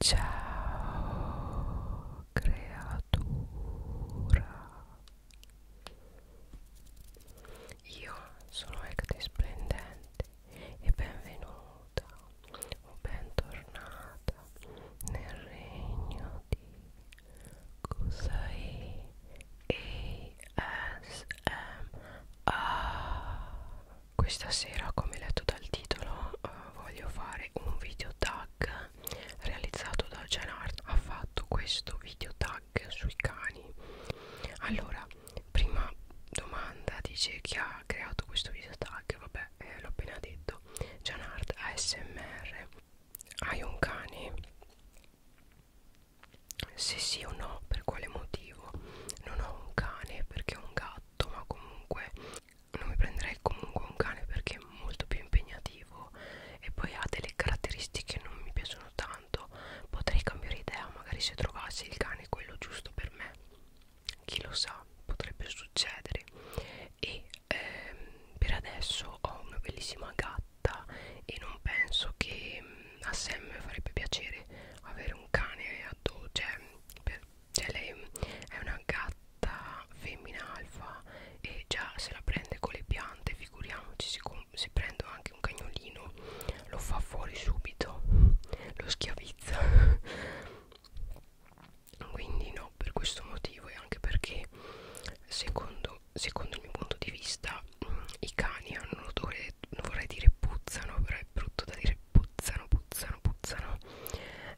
Ciao creatura Io sono Ecte Splendente e benvenuta o bentornata nel regno di Kusai ASMR questa sera come letto dal titolo eh, voglio fare un video tag realizzato da Genard ha fatto questo video tag sui cani allora prima domanda dice chi ha creato questo video tag vabbè eh, l'ho appena detto Genard ASMR hai un cane? se sì o no per quale motivo non ho un cane perché ho un gatto ma comunque non mi prenderei comunque un cane perché è molto più impegnativo e poi ha delle caratteristiche che non mi piacciono tanto potrei cambiare idea magari se trovassi il cane quello giusto per me chi lo sa potrebbe succedere e ehm, per adesso ho una bellissima gatta e non penso che mm, a Sam farebbe piacere avere un cane addosso cioè per cioè lei è una gatta femmina alfa e già se la prende con le piante figuriamoci se, se prendo anche un cagnolino lo fa fuori subito lo schiavizza quindi no per questo motivo e anche perché secondo, secondo il mio punto di vista i cani hanno un odore non vorrei dire puzzano però è brutto da dire puzzano, puzzano, puzzano.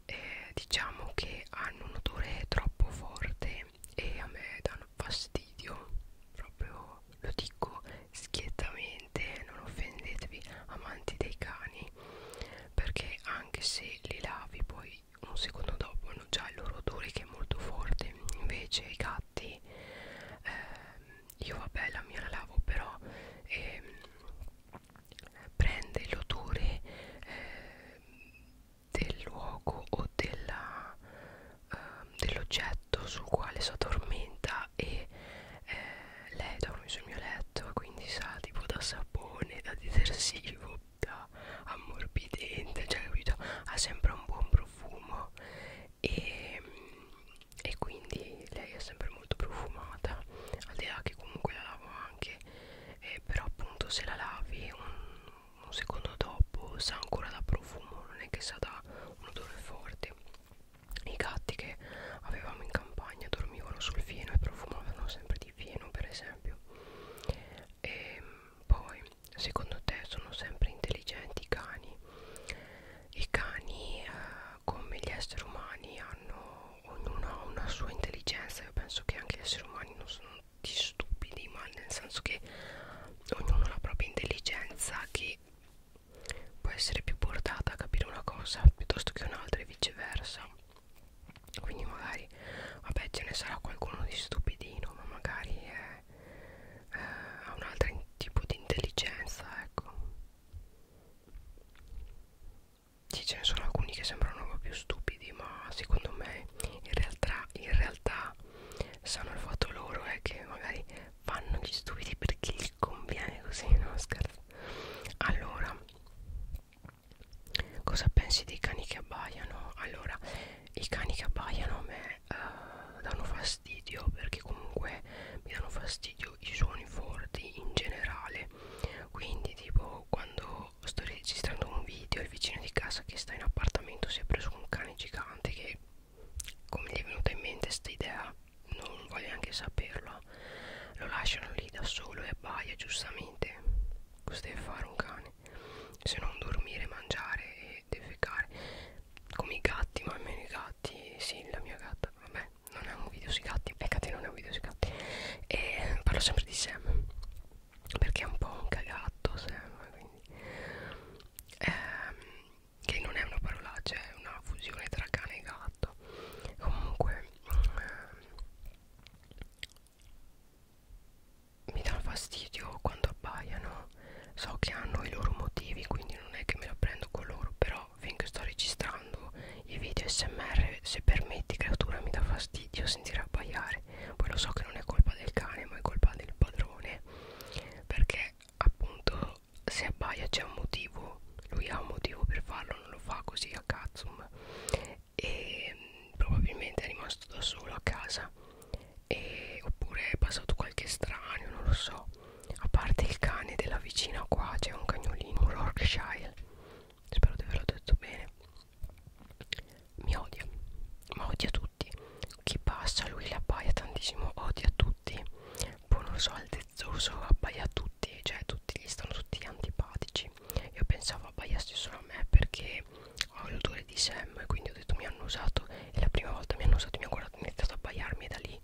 Eh, diciamo che hanno un odore troppo forte e a me danno fastidio. Proprio lo dico schiettamente, non offendetevi, amanti dei cani, perché anche se li lavi poi un secondo dopo hanno già il loro odore che è molto forte. Invece i gatti, eh, io vabbè la mia la lavo però. Eh, prende l'odore eh, del luogo o ehm, dell'oggetto eh, dell sul quale si addormenta e eh, lei dorme sul mio letto quindi sa tipo da sapone, da detersivo, da ammorbidente, cioè capito? Ha sempre un buon profumo e, e quindi lei è sempre molto profumata al di là che comunque la lavo anche eh, però appunto se la lavi un, un secondo dopo sa ancora da profumo non è che sa da un odore forte i gatti che avevamo in campagna dormivano sul fieno e profumavano sempre di fieno per esempio e ehm, poi secondo te sono sempre intelligenti i cani i cani eh, come gli esseri umani hanno ognuno ha una sua intelligenza io penso che anche gli esseri umani non sono di stupidi ma nel senso che ognuno ha la propria intelligenza che può essere più portata a capire una cosa piuttosto che un'altra e viceversa quindi magari vabbè ce ne sarà qualcuno di stupidino ma magari è, eh, ha un altro tipo di intelligenza ecco sì, ce ne sono alcuni che sembrano un po' più stupidi, ma secondo me in realtà, in realtà sanno il fatto loro è eh, che magari fanno gli stupidi perché gli conviene così, no scherzo. Allora, cosa pensi dei cani che abbaiano? Allora, i cani che abbaiano a me uh, danno fastidio perché comunque mi danno fastidio i suoni forti in generale. Quindi, tipo, quando ciao sto registrando un video il vicino di casa che sta in appartamento si è preso un cane gigante che come gli è venuta in mente sta idea non voglio neanche saperlo lo lasciano lì da solo e abbaia giustamente cosa deve fare un cane se non dormire mangiare e defecare come i gatti ma almeno i gatti sì la mia gatta vabbè non è un video sui gatti peccate non da video si canta. E parlo sempre di Sam perché è un po' un cagatto Sam quindi ehm, che non è una parolaccia cioè, è una fusione tra cane e gatto comunque ehm, mi dà fastidio quando abbaiano so che hanno i loro motivi quindi non è che me la prendo con loro però finché sto registrando i video smr se permetti creatura mi dà fastidio sentire abbaiare poi lo so che non è colpa del cane ma è colpa del padrone perché appunto se abbaia c'è un motivo lui ha un motivo per farlo non lo fa così a cazzum e mm, probabilmente è rimasto da solo a casa e, oppure è passato qualche estraneo non lo so a parte il cane della vicina qua c'è un cagnolino un Yorkshire spero di averlo detto bene mi odia ma odia tutti chi passa lui la appaia tantissimo odia tutti poi boh, non so altezzoso appaia a tutti cioè tutti gli stanno tutti antipatici io pensavo abbaiassi solo a me perché ho l'odore di Sam e quindi ho detto mi hanno usato e la prima volta mi hanno usato mi ha guardato iniziato a abbaiarmi e da lì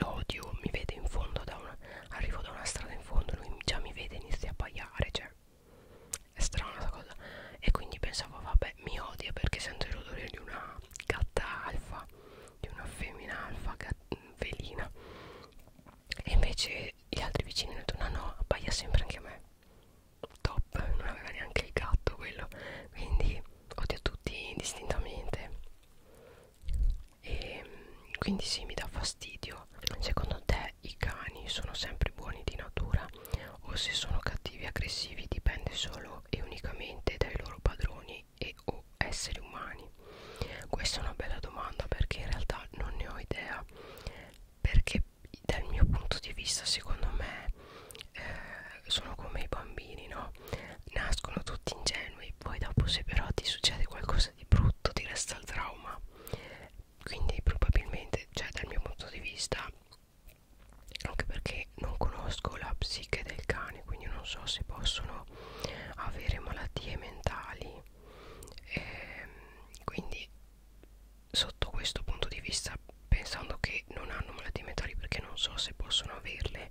l'odio mi vede in fondo da una, arrivo da una strada in fondo lui già mi vede e inizia a abbaiare cioè è strana sta cosa e quindi pensavo vabbè mi odia perché sento l'odore di una gatta alfa di una femmina alfa velina e invece gli altri vicini hanno detto no no abbaia sempre anche a me top non aveva neanche il gatto quello quindi odio tutti indistintamente e mm, quindi sì mi dà fastidio secondo te se i cani sono sempre buoni di natura o se sono cattivi e aggressivi dipende solo e unicamente dai loro padroni e o esseri umani. Questa è una bella domanda perché in realtà non ne ho idea perché dal mio punto di vista secondo me eh, sono come i bambini, no? Nascono tutti ingenui, poi dopo se però ti succede qualcosa di brutto ti resta il trauma quindi probabilmente cioè dal mio punto di vista anche perché non conosco la psiche del cane quindi non so se possono avere malattie mentali e ehm, quindi sotto questo punto di vista pensando che non hanno malattie mentali perché non so se possono averle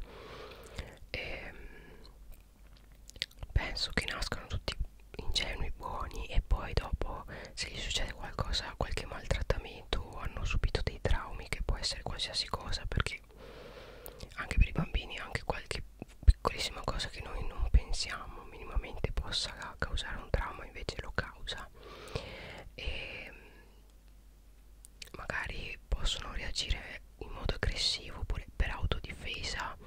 e ehm, penso che nascano tutti ingenui, buoni e poi dopo se gli succede qualcosa, qualche maltrattamento o hanno subito dei traumi che può essere qualsiasi cosa perché anche per i bambini anche qualche piccolissima cosa che noi non pensiamo minimamente possa causare un trauma invece lo causa e mm, magari possono reagire in modo aggressivo oppure per autodifesa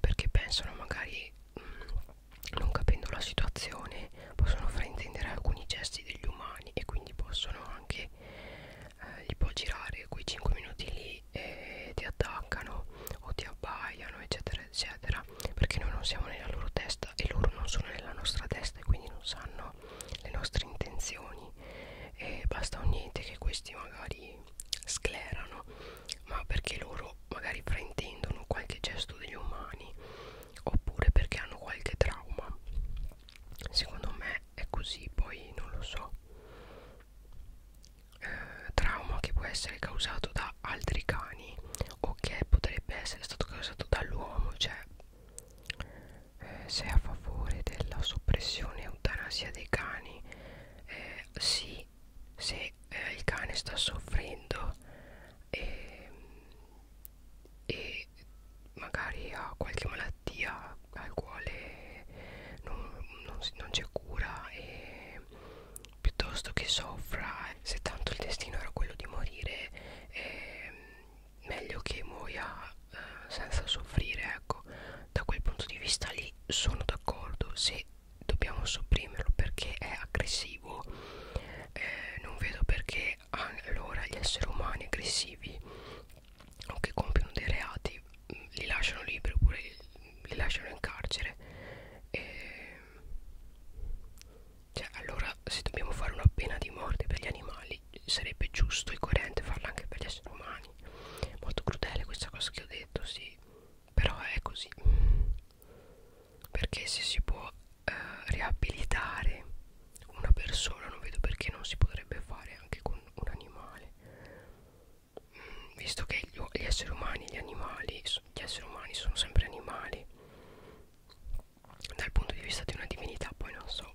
perché pensano magari mh, mm, non capendo la situazione possono fraintendere alcuni gesti degli umani e quindi possono anche eh, gli può girare quei 5 minuti lì e ti attaccano o ti abbaiano eccetera eccetera perché noi non siamo nella loro testa e loro non sono nella nostra testa e quindi non sanno le nostre intenzioni e basta o niente che questi magari sclerano ma perché loro magari fraintendono qualche gesto degli umani oppure perché hanno qualche trauma secondo me è così poi non lo so eh, trauma che può essere causato da altri cani o che potrebbe essere stato causato dall'uomo cioè eh, se è a favore della soppressione e eutanasia dei cani eh, sì quindi se eh, il cane sta soffrendo e, e magari ha qualche malattia al quale non, non, non c'è cura e piuttosto che soffra se tanto il destino era quello di morire eh, meglio che muoia eh, senza soffrire ecco da quel punto di vista lì sono d'accordo se dobbiamo sopprimerlo perché è aggressivo eh, non vedo perché allora gli esseri umani aggressivi o che compiono dei reati mm, li lasciano liberi oppure li lasciano in carcere eh, cioè allora se dobbiamo fare una pena di morte per gli animali sarebbe giusto e coerente farla anche per gli esseri umani molto crudele questa cosa che ho detto sì però è così perché se si può eh, riabilitare una persona non vedo perché non si potrebbe fare anche con un animale mm, visto che gli, gli esseri umani gli animali gli esseri umani sono sempre animali dal punto di vista di una divinità poi non so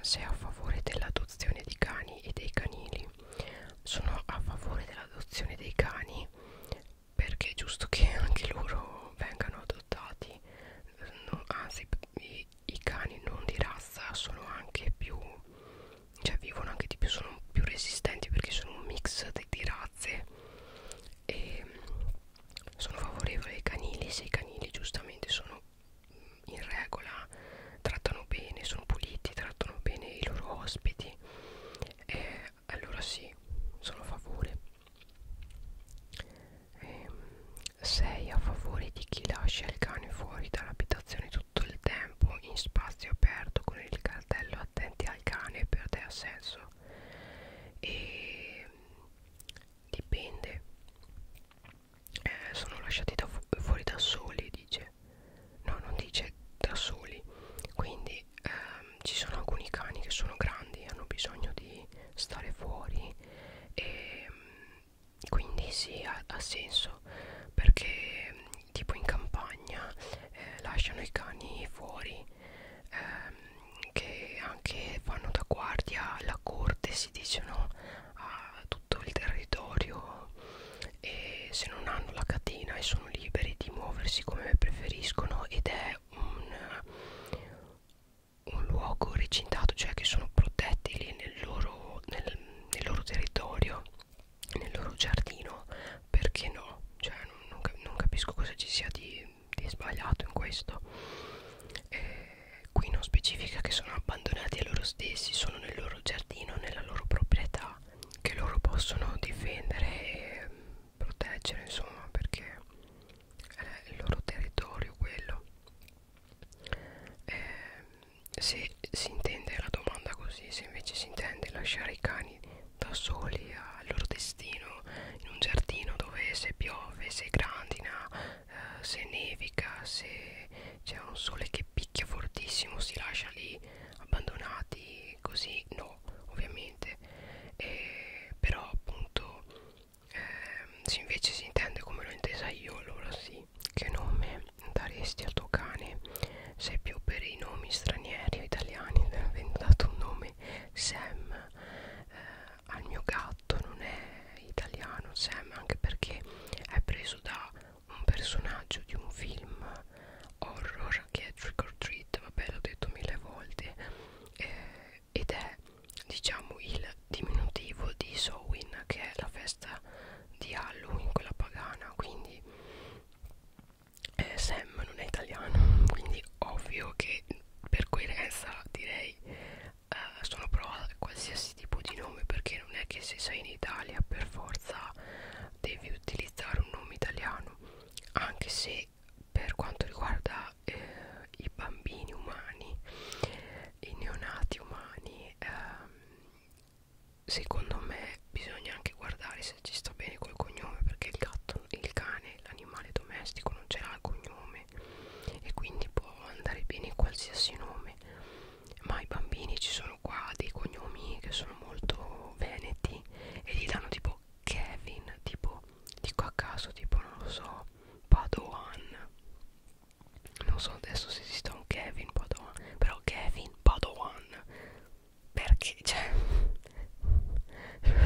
se è a favore dell'adozione di cani e dei canili sono a favore dell'adozione dei cani perché è giusto che anche loro vengano adottati non, anzi i, i cani non di razza sono anche più cioè vivono anche di più sono più resistenti perché sono un mix di, di razze e sono favorevole ai canili se i canili giustamente sono in regola trattano bene, sono puliti, trattano bene i loro ospiti eh, allora sì, sono a favore 6 eh, a favore di chi lascia il cane fuori dall'abitazione tutto il tempo in spazio aperto con il cartello attenti al cane per te ha senso e ehm, dipende eh, sono lasciati da fu fuori da soli dice dice no non dice da soli quindi ehm, ci sono alcuni cani che sono grandi hanno bisogno di stare fuori e ehm, quindi sì ha, ha senso perché tipo in campagna eh, lasciano i cani fuori ehm, che anche fanno da guardia alla corte si dice no a tutto il territorio e se non hanno la catena e sono liberi di muoversi come preferiscono ed è un, un luogo recintato, cioè che sono protetti lì nel loro, nel, nel loro territorio, nel loro giardino, perché no? Cioè, non, non, cap non capisco cosa ci sia di, di sbagliato in questo. Eh, qui non specifica che sono abbandonati a loro stessi, sono nel loro giardino, nella loro proprietà che loro possono difendere e ehm, proteggere insomma perché è eh, il loro territorio quello eh, se si intende la domanda così se invece si intende lasciare i cani da soli al loro destino in un giardino dove se piove se grandina eh, se nevica se c'è un sole che picchia fortissimo si lascia lì abbandonati così no ovviamente e, però appunto eh, se invece si intende come l'ho intesa io allora sì che nome daresti al tuo cane sei più per i nomi stranieri o italiani avendo dato un nome Sam eh, al mio gatto non è italiano Sam anche perché è preso da un personaggio di un film horror che è Trick or Treat, vabbè l'ho detto mille volte, eh, ed è diciamo il diminutivo di Sowin che è la festa di Halloween, quella pagana, quindi eh, Sam non è italiano, quindi ovvio che per coerenza direi eh, sono pro a qualsiasi tipo di nome perché non è che se sei in Italia per forza devi utilizzare un nome italiano anche se per quanto riguarda eh, i bambini umani i neonati umani ehm, secondo me bisogna anche guardare se ci sta bene col cognome perché il gatto il cane l'animale domestico non ce l'ha il cognome e quindi può andare bene qualsiasi nome ma i bambini ci sono qua dei cognomi che sono molto veneti e gli danno tipo Kevin, tipo dico a caso, tipo non lo so, Padoan. Non so adesso se esista un Kevin Padoan, però Kevin Padoan. Perché cioè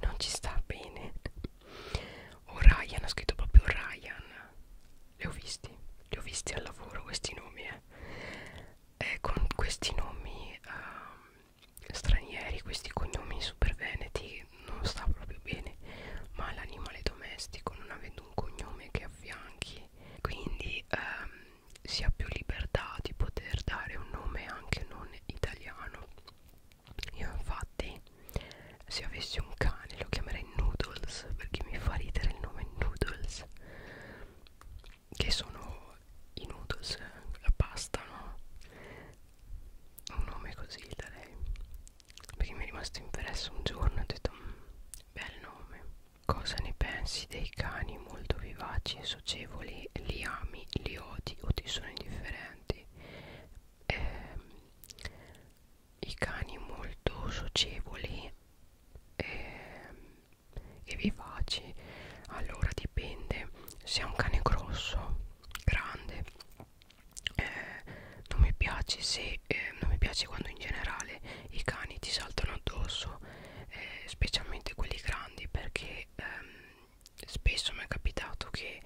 non ci sta bene. O Ryan, ha scritto proprio Ryan. Li ho visti, li ho visti al lavoro questi nomi, eh è eh, con questi nomi uh, stranieri, questi cognomi super veneti non sta proprio bene, ma l'animale domestico non avendo un cognome che affianchi, quindi um, si ha più libertà di poter dare un nome anche non italiano. Io infatti se avessi un cane lo chiamerei Noodles perché mi fa ridere il nome Noodles che sono i noodles, la pasta, no? Un nome così da lei. Perché mi è rimasto impresso un giorno e ho detto, mm, bel nome. Cosa ne pensi dei cani molto vivaci e socievoli? Li ami, li odi o ti sono indifferenti? Eh, I cani molto socievoli eh, e vivaci allora dipende se è un cane grosso grande eh, non mi piace se eh, non mi piace quando in generale i cani ti saltano addosso eh, specialmente quelli grandi perché ehm, spesso mi è capitato che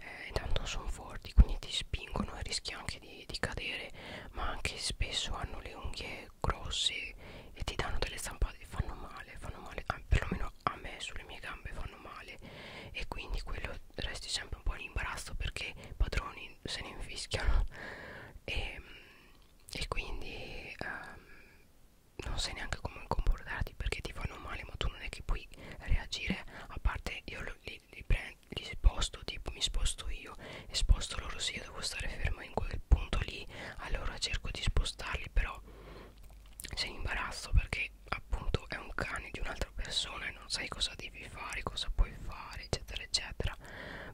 eh, intanto sono forti quindi ti spingono e rischi anche di, di cadere ma anche spesso hanno le unghie grossi e ti danno delle stampate che fanno male, fanno male, ah, perlomeno a me sulle mie gambe fanno male e quindi quello resti sempre un po' in imbarazzo perché i padroni se ne infischiano e, mm, e quindi um, non sai neanche come comportarti perché ti fanno male ma tu non è che puoi reagire a parte io li, li, prendo, li sposto tipo mi sposto io e sposto loro sì io devo stare ferma ma in quel punto lì allora cerco di spostarli però sei in imbarazzo perché appunto è un cane di un'altra persona e non sai cosa devi fare cosa puoi fare eccetera eccetera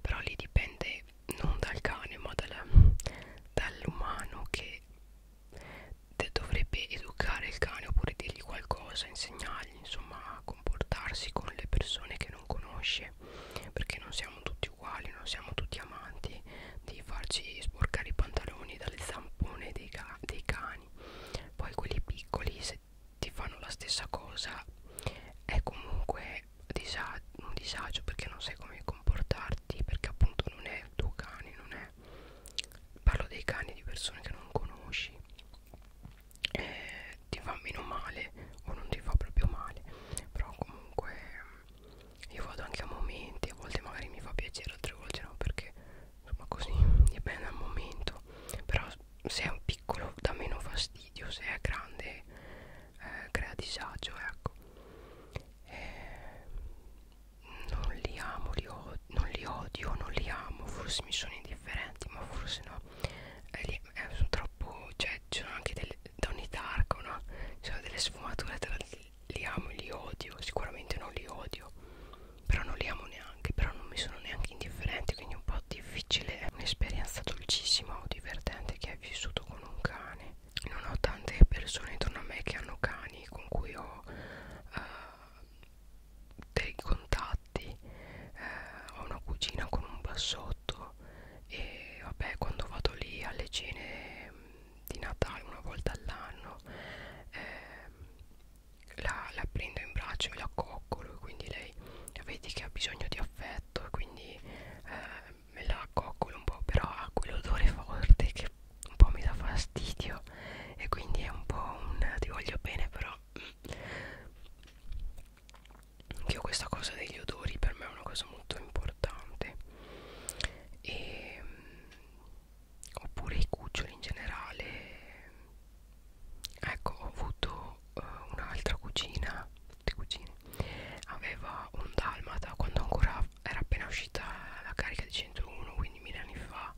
però lì dipende non dal cane ma dall'umano dall che dovrebbe educare il cane oppure dirgli qualcosa insegnargli insomma a comportarsi con le persone che non conosce perché perché non siamo tutti uguali non siamo tutti amanti di farci sporcare i pantaloni dalle zampone dei, ca dei cani poi quelli piccoli se ti fanno la stessa cosa è comunque disa un disagio perché non sai come comportarti perché appunto non è il tuo cane non è parlo dei cani di persone che non conosci eh, ti fa meno male o non ti fa proprio male però comunque io vado anche a momenti a volte magari mi fa piacere altre volte no perché insomma così dipende dal momento però se è un piccolo dà meno fastidio se è grande eh, crea disagio ecco eh, non li amo li non li odio non li amo forse mi sono indifferenti ma forse no eh, li, eh, sono troppo cioè ci sono anche delle delle, da ogni targa no? ci sono delle sfumature tra li amo e li odio sicuramente non li odio però non li amo neanche però non mi sono neanche indifferenti quindi è un po' difficile un'esperienza dolcissima o divertente che hai vissuto con un cane non ho tante persone intorno a me che hanno cani con cui ho uh, dei contatti uh, ho una cugina con un bassotto e vabbè quando vado lì alle cene di Natale una volta all'anno eh, la, la prendo in braccio e la coccolo e quindi lei vedi che ha bisogno di affetto e quindi eh, me la coccolo un po' però ha quell'odore forte che un po' mi dà fastidio e quindi è un po' un ti voglio bene però mm, che ho questa cosa degli odori per me è una cosa molto importante e, mm, oppure i cuccioli in generale ecco ho avuto uh, un'altra cugina tutte cugine aveva un dalmata quando ancora era appena uscita la carica di 101 quindi mille anni fa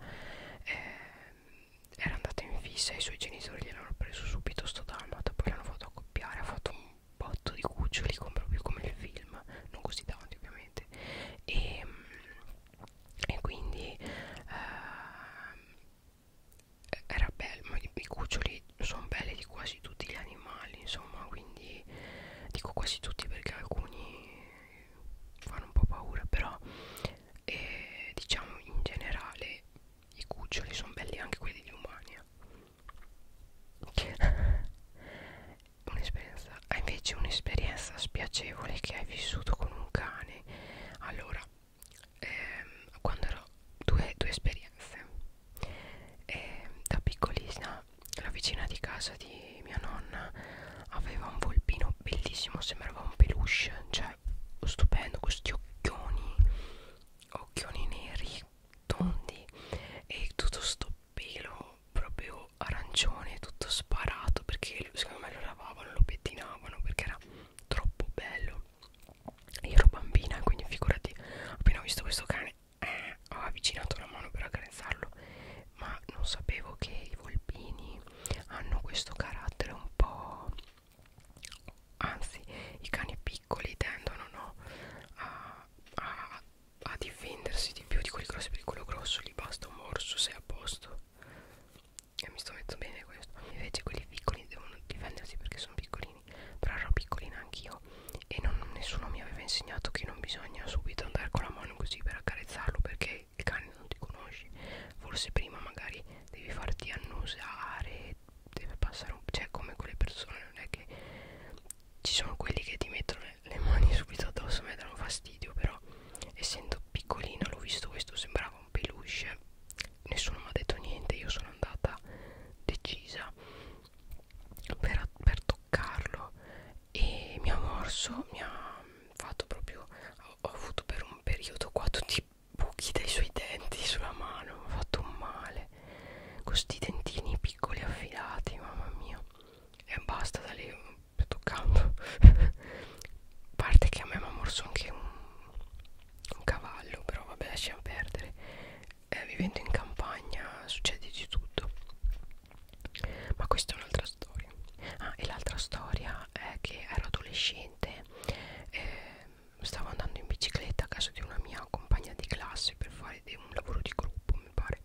eh, era andata in fissa i suoi genitori gliel'hanno preso subito sto dalmata poi l'hanno fatto accoppiare ha fatto un botto di cuccioli come, proprio come il film non così tanti ovviamente e, e quindi eh, era bello ma i, i cuccioli sono belli di quasi tutti gli animali insomma quindi dico quasi tutti perché alcuni fanno un po' paura però eh, diciamo in generale i cuccioli sono belli anche quelli di umani eh. un'esperienza ah, invece un'esperienza spiacevole che hai vissuto con un cane allora ehm, quando ero due, due esperienze eh, da piccolina la vicina di casa di mia nonna aveva un volpino bellissimo sembrava un peluche cioè stupendo questi occhioni occhioni neri tondi e tutto sto pelo proprio arancione tutto sparato perché secondo me lo lavavano lo pettinavano perché era troppo bello io ero bambina quindi figurati appena ho visto questo cane eh, ho avvicinato la mano per accarezzarlo ma non sapevo che i volpini hanno questo carattere un po' anzi i cani piccoli tendono no, a, a a difendersi di più di quelli grossi perché quello grosso gli basta un morso sei a posto e mi sto mettendo bene questo invece quelli piccoli devono difendersi perché sono piccolini però ero piccolina anch'io e non, nessuno mi aveva insegnato che non bisogna subito andare con la mano così per accarezzarlo perché il cane non ti conosce forse prima magari devi farti annusare deve passare un cioè come quelle persone non è che ci sono quelli che ti mettono le mani subito addosso mi danno fastidio però essendo piccolina l'ho visto questo sembrava un peluche nessuno mi ha detto niente io sono andata decisa per, per toccarlo e mi ha morso mi ha fatto proprio ho, ho avuto per un periodo qua tutti i buchi dai suoi denti sulla mano mi ha fatto un male con questi dentini piccoli affilati mamma mia e basta da lì toccando parte che a me mi ha morso anche un, un cavallo però vabbè lasciamo perdere eh, vivendo in campagna succede di tutto ma questa è un'altra storia ah e l'altra storia è che ero adolescente eh, stavo andando in bicicletta a casa di una mia compagna di classe per fare un lavoro di gruppo mi pare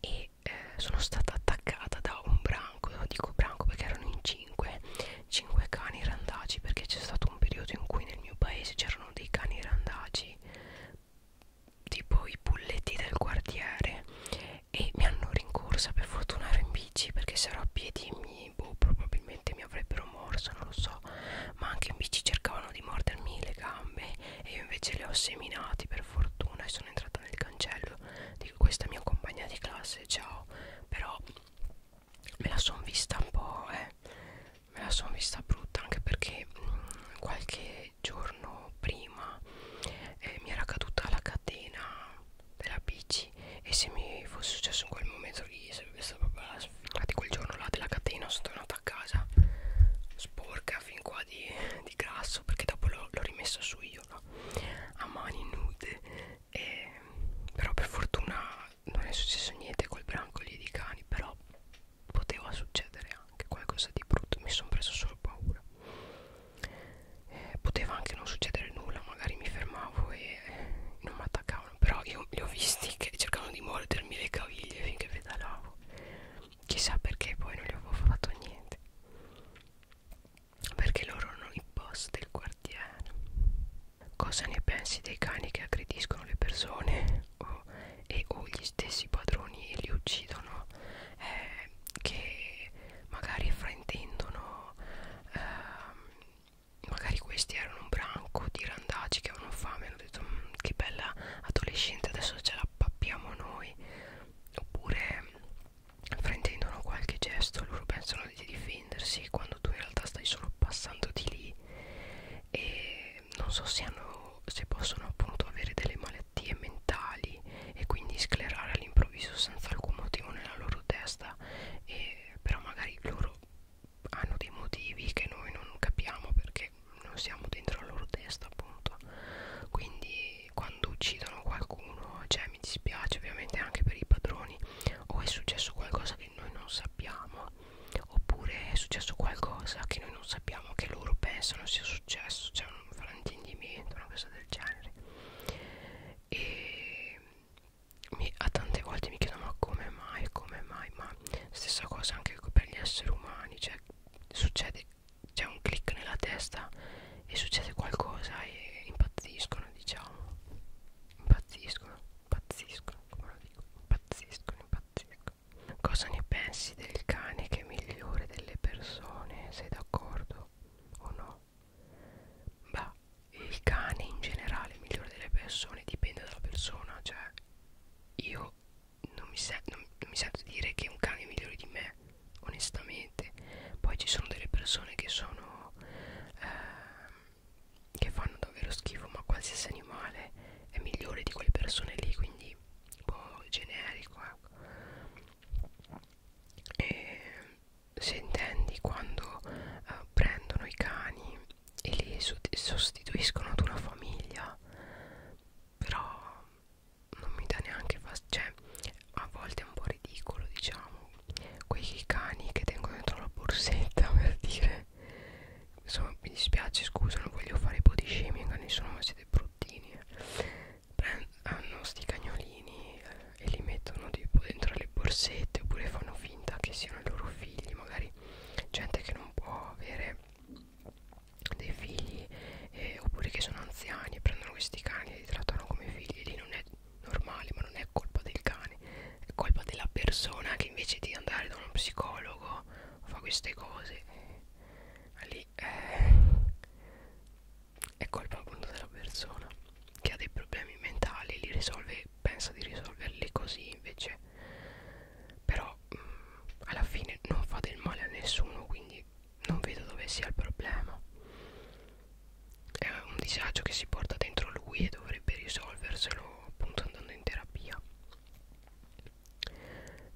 e eh, sono stata attaccata da un branco io dico branco perché erano in 5 5 cani randaci perché c'è stato un periodo in cui nel mio paese c'erano dei cani randaci tipo i bulletti del quartiere e mi hanno rincorsa per fortuna ero in bici perché se ero a piedi mi, boh, probabilmente mi avrebbero morso non lo so ma anche in bici cercavano di mordermi le gambe e io invece le ho seminati per fortuna e sono entrata nel cancello di questa mia compagna di classe ciao però me la son vista un po' eh me la son vista brutta anche perché mh, mm, qualche giorno prima eh, mi era caduta la catena della bici e se mi fosse successo in quel momento lì sarebbe stata proprio la sfida di quel giorno là della catena sono tornata portata a casa sporca fin qua di, di grasso perché dopo l'ho rimessa su io no? a mani nude e, però per fortuna non è successo niente col branco lì di cani però poteva succedere anche qualcosa di brutto mi sono preso solo paura eh, poteva anche non succedere nulla magari mi fermavo e eh, non mi attaccavano però io li ho visti che cercavano di mordermi le caviglie finché pedalavo chissà perché poi non gli avevo fatto niente perché loro erano i boss del quartiere cosa ne pensi dei cani che aggrediscono le persone o, e o gli stessi padroni e li uccidono eh, che magari fraintendono eh, magari questi erano un branco di randaci che avevano fame mi hanno detto mm, che bella adolescente adesso ce la pappiamo noi oppure fraintendono qualche gesto loro pensano di difendersi quando tu in realtà stai solo passando di lì e non so se, hanno, se possono appunto avere delle malattie mentali e quindi sclerare all'improvviso senza alcun motivo nella loro testa e però magari loro hanno dei motivi che noi non capiamo perché perché non siamo dentro la loro testa appunto quindi quando uccidono qualcuno cioè mi dispiace ovviamente anche per i padroni o è successo qualcosa che noi non sappiamo oppure è successo qualcosa che noi non sappiamo che loro pensano sia successo cioè un fraintendimento una cosa del genere e mi, a tante volte mi chiedono ma come mai come mai ma stessa cosa anche per gli esseri umani cioè succede c'è un click nella testa e succede qualcosa e impazziscono diciamo impazziscono impazziscono come lo dico impazziscono impazziscono cosa ne pensi del cane che è migliore delle persone sei d'accordo o no beh il cane in generale migliore delle persone dipende dalla persona cioè io non mi, non, non mi sento dire che un cane è migliore di me onestamente poi ci sono delle persone che sono eh, che fanno davvero schifo ma qualsiasi animale è migliore di quelle persone lì quindi un boh, po' generico ecco. e se intendi quando eh, prendono i cani e li sostituiscono ad una famiglia però non mi dà neanche cioè a volte è un po' ridicolo diciamo quei cani che tengo dentro la borsetta per dire insomma mi dispiace scusa non voglio fare body shaming a nessuno ma siete bruttini eh. Prend hanno sti cagnolini eh, e li mettono tipo dentro le borsette oppure fanno finta che siano i loro figli magari gente che non può avere dei figli eh, oppure che sono anziani e prendono questi cani e li trattano come figli lì non è normale ma non è colpa del cane è colpa della persona che invece di andare da uno psicologo fa queste cose eh, lì eh, è colpa appunto della persona che ha dei problemi mentali li risolve pensa di risolverli così invece però mh, mm, alla fine non fa del male a nessuno quindi non vedo dove sia il problema è un disagio che si porta dentro lui e dovrebbe risolverselo appunto andando in terapia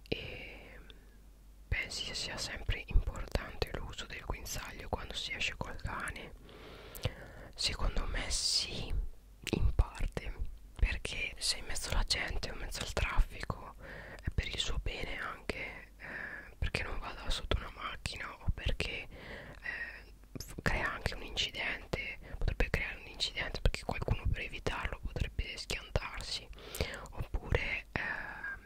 e pensi sia sempre importante l'uso del guinzaglio quando si esce col cane secondo me sì in parte perché sei in mezzo alla gente o in mezzo al traffico po' eh, è per il suo bene anche eh, perché non vada sotto una macchina o perché eh, crea anche un incidente potrebbe creare un incidente perché qualcuno per evitarlo potrebbe schiantarsi oppure ehm,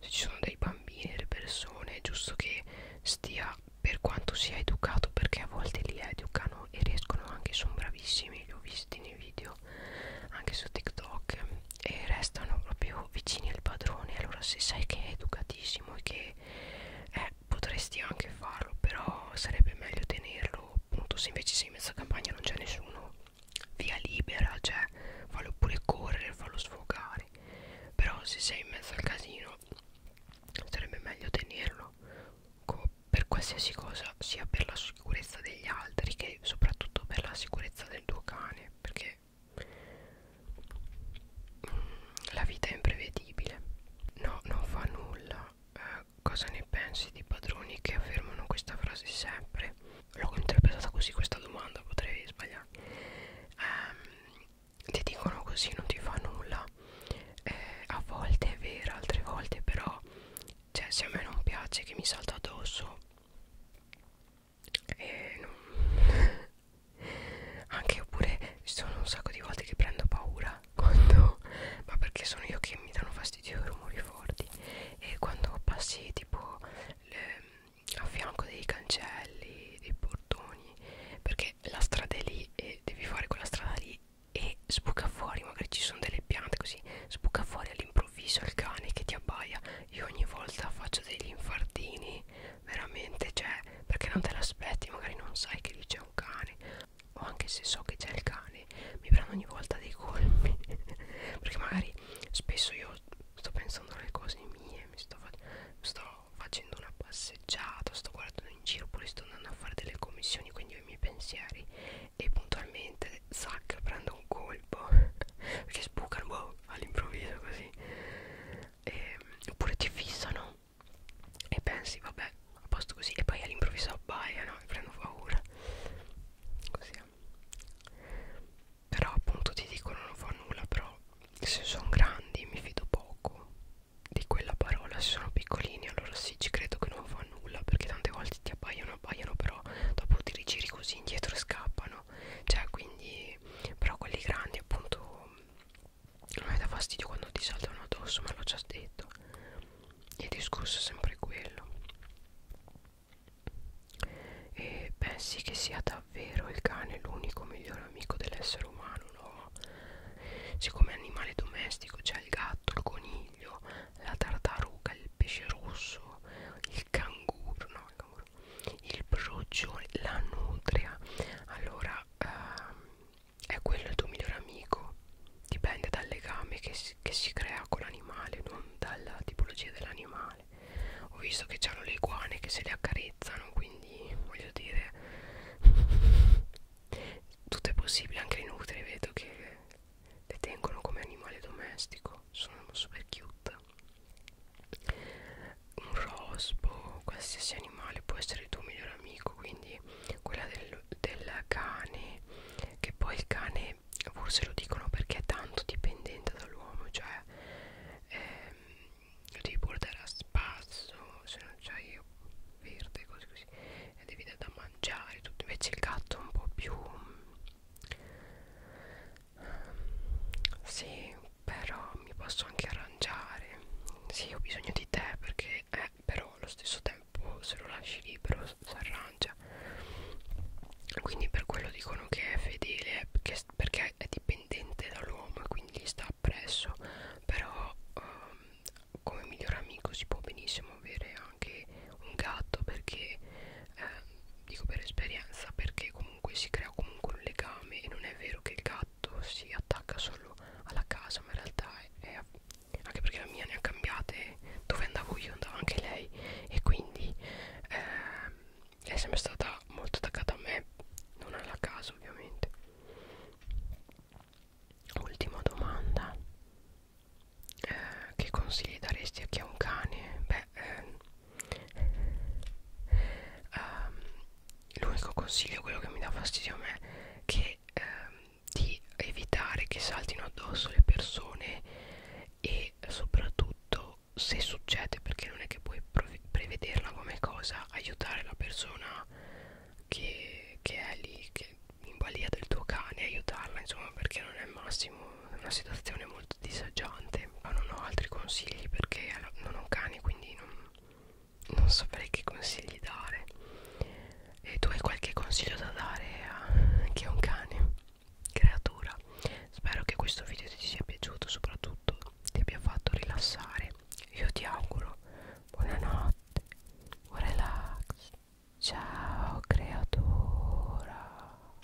se ci sono dei bambini delle persone è giusto che stia per quanto sia educato perché a volte li educano e riescono anche sono bravissimi li ho visti nei video anche su TikTok e restano proprio vicini al padrone allora se sai che è educatissimo e che eh, potresti anche farlo però sarebbe meglio tenerlo appunto se invece sei in mezzo a campagna non c'è nessuno via libera cioè fallo pure correre fallo sfogare però se sei in mezzo al casino sarebbe meglio tenerlo per qualsiasi cosa sia per la sicurezza degli altri che soprattutto per la sicurezza del tuo cane perché mm, la vita è imprevedibile no non fa nulla eh, cosa ne pensi di padroni che affermano questa frase sempre l'ho interpretata così questa domanda potrei sbagliarmi eh, ti dicono così non ti fa nulla eh, a volte è vera altre volte però cioè se a me non piace che mi salta addosso e non anche oppure ci sono un sacco di volte che prendo paura quando ma perché sono io che mi danno fastidio i rumori forti e quando passi tipo le, a fianco dei cancelli dei portoni perché la strada è lì e devi fare quella strada lì e sbuca fuori magari ci sono delle piante così sbuca fuori all'improvviso all'improvviso il cane che ti abbaia io ogni volta faccio degli infartini veramente cioè perché non te l'aspetti magari non sai che lì c'è un cane o anche se so che c'è il cane mi prendo ogni volta dei colpi perché magari spesso io sto pensando alle cose mie mi sto, fa sto facendo una passeggiata sto guardando in giro oppure sto andando a fare delle commissioni quindi ho i miei pensieri e puntualmente zac prendo un colpo boh, ci sbucano boh, all'improvviso così e, ehm, oppure ti fissano e pensi vabbè a posto così e poi all'improvviso abbaiano e prendo paura così però appunto ti dicono non fa nulla però se sono grandi mi fido poco di quella parola se sono piccolini allora sì ci credo che non fa nulla perché tante volte ti abbaiano abbaiano però dopo ti rigiri così indietro scappano cioè quindi però quelli grandi appunto non mi dà fastidio quando ti saltano addosso me l'ho già detto il discorso è sempre quello e pensi che sia davvero il cane l'unico migliore amico dell'essere umano no siccome è animale domestico c'è cioè il gatto il coniglio la tartaruga, il pesce rosso, il canguro, no, il, canguro, il brucione, la nutria. Allora, ehm, è quello il tuo migliore amico. Dipende dal legame che si, che si crea con l'animale, non dalla tipologia dell'animale. Ho visto che c'hanno le iguane che se le accarezzano, quindi voglio dire tutto è possibile, anche le nutrie vedo che le tengono come animale domestico sono super cute un rospo qualsiasi animale può essere il tuo migliore amico quindi quella del, del cane che poi il cane forse lo dicono perché è tanto dipendente dall'uomo cioè ehm, lo devi portare a spasso se non c'hai verde così così e devi dare da mangiare tutto. invece il gatto è un po' più sì, però mi posso anche arrangiare. Sì, ho bisogno di te perché, eh, però allo stesso tempo se lo lasci libero si arrangia. Quindi per quello dicono che è fedele perché, perché è dipendente dall'uomo e quindi sta appresso. Però um, come miglior amico si può benissimo avere anche un gatto perché eh, dico per esperienza perché comunque si crea comunque un legame e non è vero che il gatto si attacca solo alla casa ma in realtà è, è anche perché la mia ne ha cambiate dove andavo io andava anche lei e quindi eh, è sempre stata molto attaccata a me non alla casa ovviamente ultima domanda eh, che consigli daresti a chi ha un cane? beh eh, um, l'unico consiglio quello che mi dà fastidio a me è che um, di evitare che saltino addosso le persone e soprattutto se succede perché non è che puoi prevederla come cosa aiutare la persona che, che è lì che in balia del tuo cane aiutarla insomma perché non è il massimo una situazione molto disagiante ma non ho altri consigli perché non ho cani quindi non, non saprei che consigli dare e tu hai qualche consiglio da dare a chi ha un cane creatura spero che questo video ti sia piaciuto soprattutto ti abbia fatto rilassare io ti auguro buonanotte buon relax ciao creatura